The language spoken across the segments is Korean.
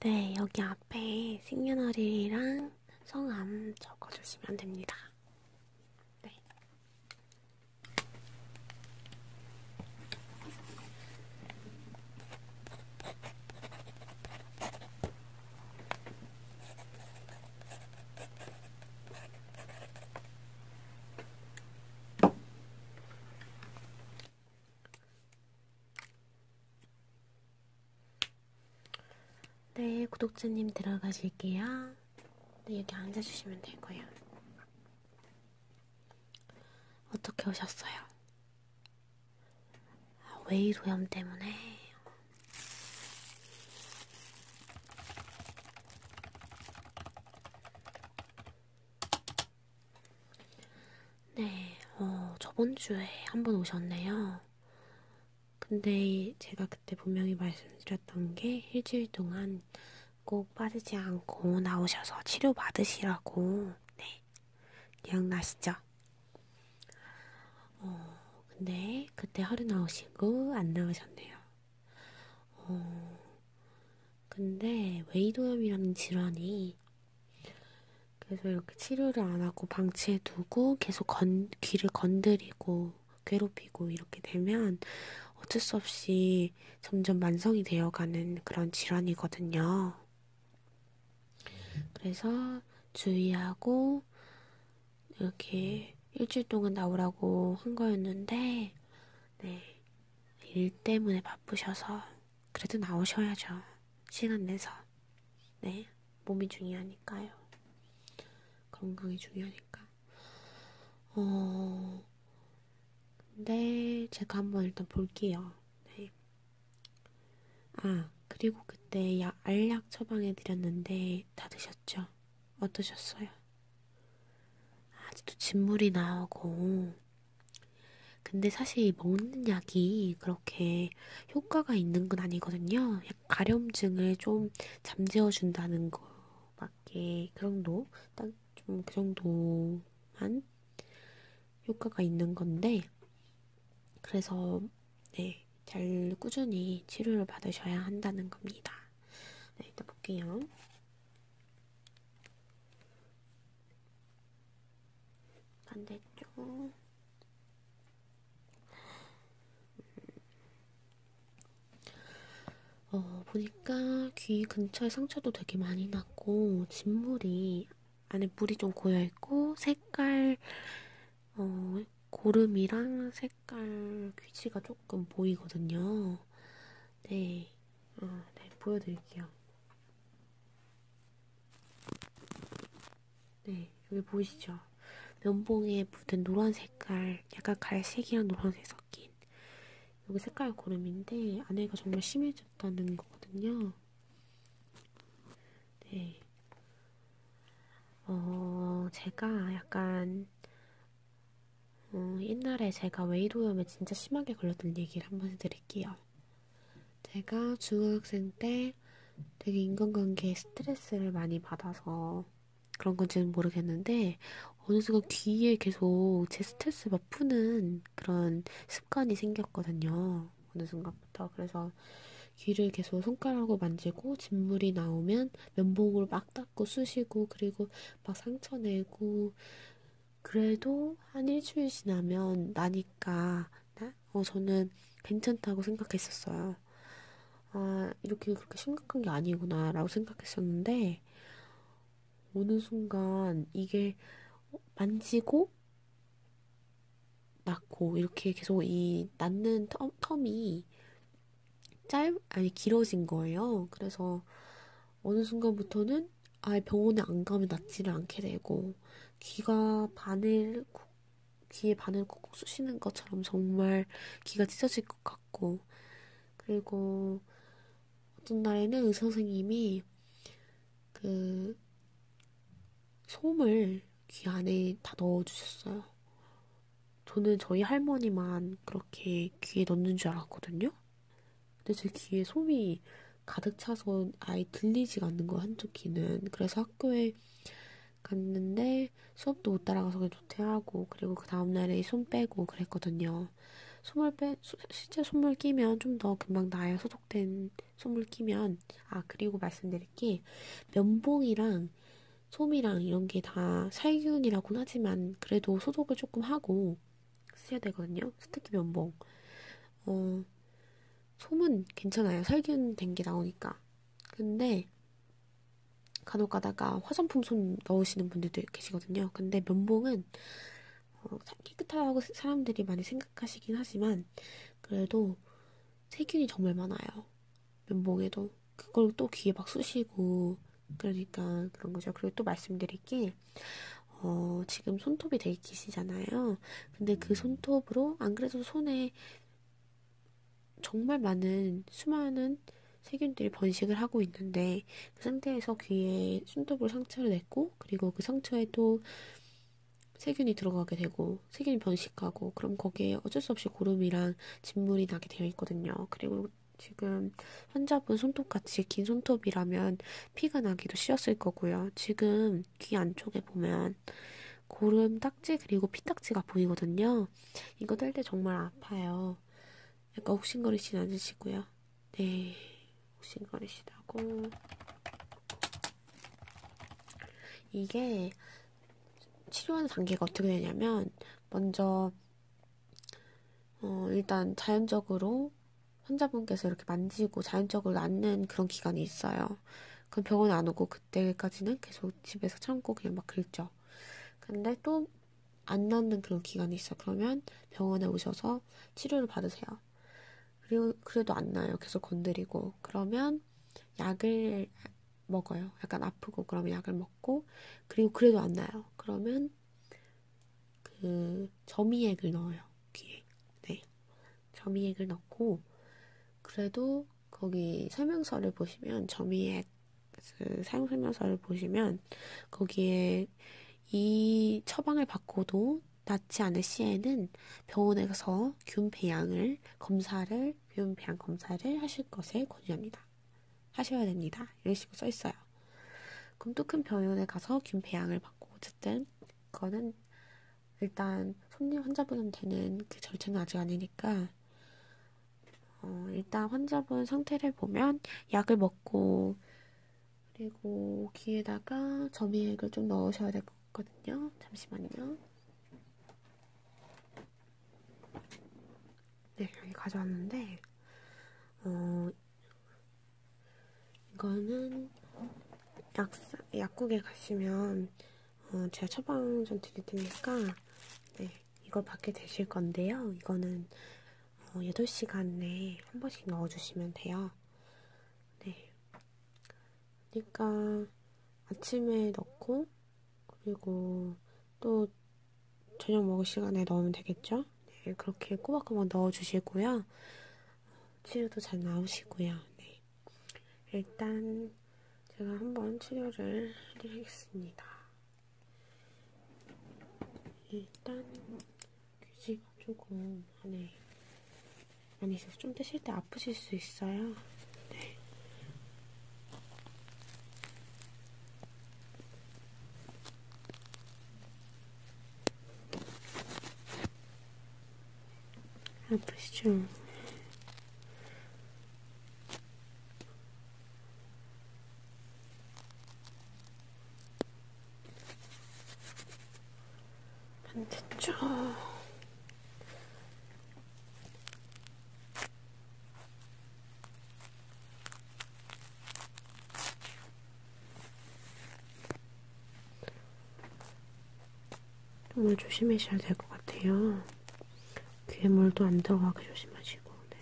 네, 여기 앞에 생년월일이랑 성함 적어주시면 됩니다. 네. 네, 구독자님 들어가실게요. 네, 여기 앉아주시면 될 거예요. 어떻게 오셨어요? 아, 웨이 도염 때문에. 네, 어, 저번 주에 한번 오셨네요. 근데 제가 그때 분명히 말씀드렸던 게 일주일 동안 꼭 빠지지 않고 나오셔서 치료 받으시라고. 네, 기억나시죠? 어, 근데 그때 하루 나오시고 안 나오셨네요. 어, 근데 웨이도염이라는 질환이 그래서 이렇게 치료를 안 하고 방치해 두고 계속 건, 귀를 건드리고 괴롭히고 이렇게 되면 어쩔 수 없이 점점 만성이 되어가는 그런 질환이거든요. 그래서 주의하고 이렇게 일주일 동안 나오라고 한 거였는데 네. 일 때문에 바쁘셔서 그래도 나오셔야죠. 시간 내서. 네. 몸이 중요하니까요. 건강이 중요하니까. 어, 근데 제가 한번 일단 볼게요. 네. 아, 그리고 그때 약, 알약 처방해드렸는데 다 드셨죠? 어떠셨어요? 아직도 진물이 나오고, 근데 사실 먹는 약이 그렇게 효과가 있는 건 아니거든요. 가려움증을 좀 잠재워 준다는 거밖에 그 정도 딱 좀 그 정도만 효과가 있는 건데 그래서 네, 잘 꾸준히 치료를 받으셔야 한다는 겁니다. 네, 일단 볼게요. 반대쪽 음, 어, 보니까 귀 근처에 상처도 되게 많이 났고 진물이 안에 물이 좀 고여있고 색깔 어, 고름이랑 색깔 귀지가 조금 보이거든요. 네. 아, 네, 보여드릴게요. 네, 여기 보이시죠? 면봉에 묻은 노란 색깔, 약간 갈색이랑 노란색 섞인 여기 색깔 고름인데 안에가 정말 심해졌다는 거거든요. 네, 어, 제가 약간 음, 옛날에 제가 외이도염에 진짜 심하게 걸렸던 얘기를 한번 해드릴게요. 제가 중학생 때 되게 인간관계에 스트레스를 많이 받아서 그런 건지는 모르겠는데 어느 순간 귀에 계속 제 스트레스 막 푸는 그런 습관이 생겼거든요. 어느 순간부터 그래서 귀를 계속 손가락으로 만지고 진물이 나오면 면봉으로 막 닦고 쑤시고 그리고 막 상처 내고 그래도 한 일주일 지나면 나니까 어, 저는 괜찮다고 생각했었어요. 아, 이렇게 그렇게 심각한 게 아니구나 라고 생각했었는데 어느 순간 이게 만지고 낳고 이렇게 계속 이 낳는 텀, 텀이 짧 아니 길어진 거예요. 그래서 어느 순간부터는 아예 병원에 안 가면 낫지를 않게 되고 귀가 바늘 귀에 바늘 콕콕 쑤시는 것처럼 정말 귀가 찢어질 것 같고 그리고 어떤 날에는 의사 선생님이 그 솜을 귀 안에 다 넣어주셨어요. 저는 저희 할머니만 그렇게 귀에 넣는 줄 알았거든요. 근데 제 귀에 솜이 가득 차서 아예 들리지가 않는 거 한쪽 귀는 그래서 학교에 갔는데 수업도 못 따라가서 그냥 조퇴하고 그리고 그 다음날에 손 빼고 그랬거든요. 솜을 빼 소, 실제 솜을 끼면 좀 더 금방 나에 소속된 솜을 끼면 아 그리고 말씀드릴 게 면봉이랑 솜이랑 이런 게 다 살균이라고는 하지만 그래도 소독을 조금 하고 쓰셔야 되거든요. 특히 면봉. 어, 솜은 괜찮아요. 살균된 게 나오니까. 근데 간혹 가다가 화장품 솜 넣으시는 분들도 계시거든요. 근데 면봉은 어, 깨끗하다고 사람들이 많이 생각하시긴 하지만 그래도 세균이 정말 많아요. 면봉에도. 그걸 또 귀에 막 쑤시고 그러니까 그런 거죠. 그리고 또 말씀드릴 게 어, 지금 손톱이 되게 기시잖아요. 근데 그 음. 손톱으로 안 그래도 손에 정말 많은 수많은 세균들이 번식을 하고 있는데 그 상태에서 귀에 손톱으로 상처를 냈고 그리고 그 상처에 또 세균이 들어가게 되고 세균이 번식하고 그럼 거기에 어쩔 수 없이 고름이랑 진물이 나게 되어 있거든요. 그리고 지금 환자분 손톱같이 긴 손톱이라면 피가 나기도 쉬웠을 거고요. 지금 귀 안쪽에 보면 고름 딱지 그리고 피딱지가 보이거든요. 이거 뗄때 정말 아파요. 약간 욱신거리진 않으시고요. 네, 욱신거리시다고. 이게 치료하는 단계가 어떻게 되냐면 먼저 어, 일단 자연적으로 환자분께서 이렇게 만지고 자연적으로 낫는 그런 기간이 있어요. 그럼 병원 안 오고 그때까지는 계속 집에서 참고 그냥 막 긁죠. 근데 또 안 낫는 그런 기간이 있어. 그러면 병원에 오셔서 치료를 받으세요. 그리고 그래도 안 나요. 계속 건드리고 그러면 약을 먹어요. 약간 아프고 그러면 약을 먹고 그리고 그래도 안 나요. 그러면 때는 그 점이액을 넣어요. 귀에. 네. 점이액을 넣고 그래도 거기 설명서를 보시면 점이액 그 사용 설명서를 보시면 거기에 이 처방을 받고도 낫지 않을 시에는 병원에 가서 균 배양을 검사를 균 배양 검사를 하실 것을 권유합니다. 하셔야 됩니다. 이런 식으로 써 있어요. 그럼 또 큰 병원에 가서 균 배양을 받고 어쨌든 그거는 일단 손님 환자분한테는 그 절차는 아직 아니니까 어, 일단 환자분 상태를 보면 약을 먹고 그리고 귀에다가 점액을 좀 넣으셔야 될 것 같거든요. 잠시만요. 네, 여기 가져왔는데 어, 이거는 약사, 약국에 가시면 어, 제가 처방 좀 드릴 테니까 네, 이걸 받게 되실 건데요. 이거는 어, 8시간 내에 한 번씩 넣어주시면 돼요. 네. 그러니까 아침에 넣고 그리고 또 저녁 먹을 시간에 넣으면 되겠죠? 네, 그렇게 꼬박꼬박 넣어주시고요. 치료도 잘 나오시고요. 네. 일단 제가 한번 치료를 해드리겠습니다. 일단 귀지가 조금 안에 안에 있어서 좀 뜨실 때 아프실 수 있어요. 네. 아프시죠? 반대쪽 정말 조심하셔야 될 것 같아요. 귀에 물도 안 들어가게 조심하시고. 네.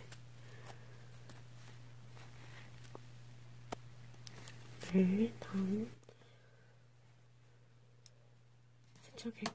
네, 다음. 세척액.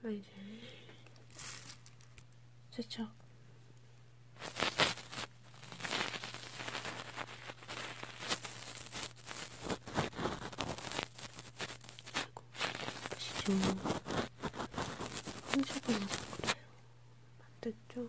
슬라이드 세척 아이고 보시죠 홍수가 나서 그래요 안됐죠?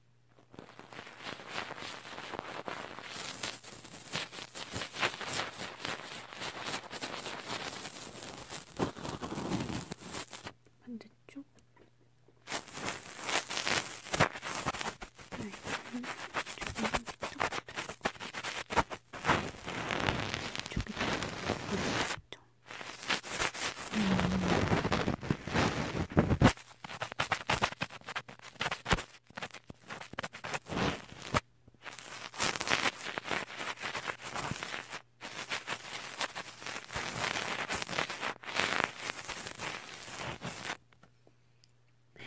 반대쪽 네, 이쪽은 이쪽이 더 이쪽이 더 음.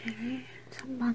네, 3번.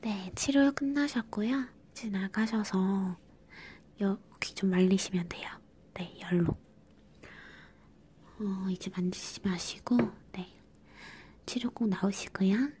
네, 치료 끝나셨고요. 이제 나가셔서 여기 좀 말리시면 돼요. 네, 열로. 어, 이제 만지지 마시고, 네. 치료 꼭 나오시고요.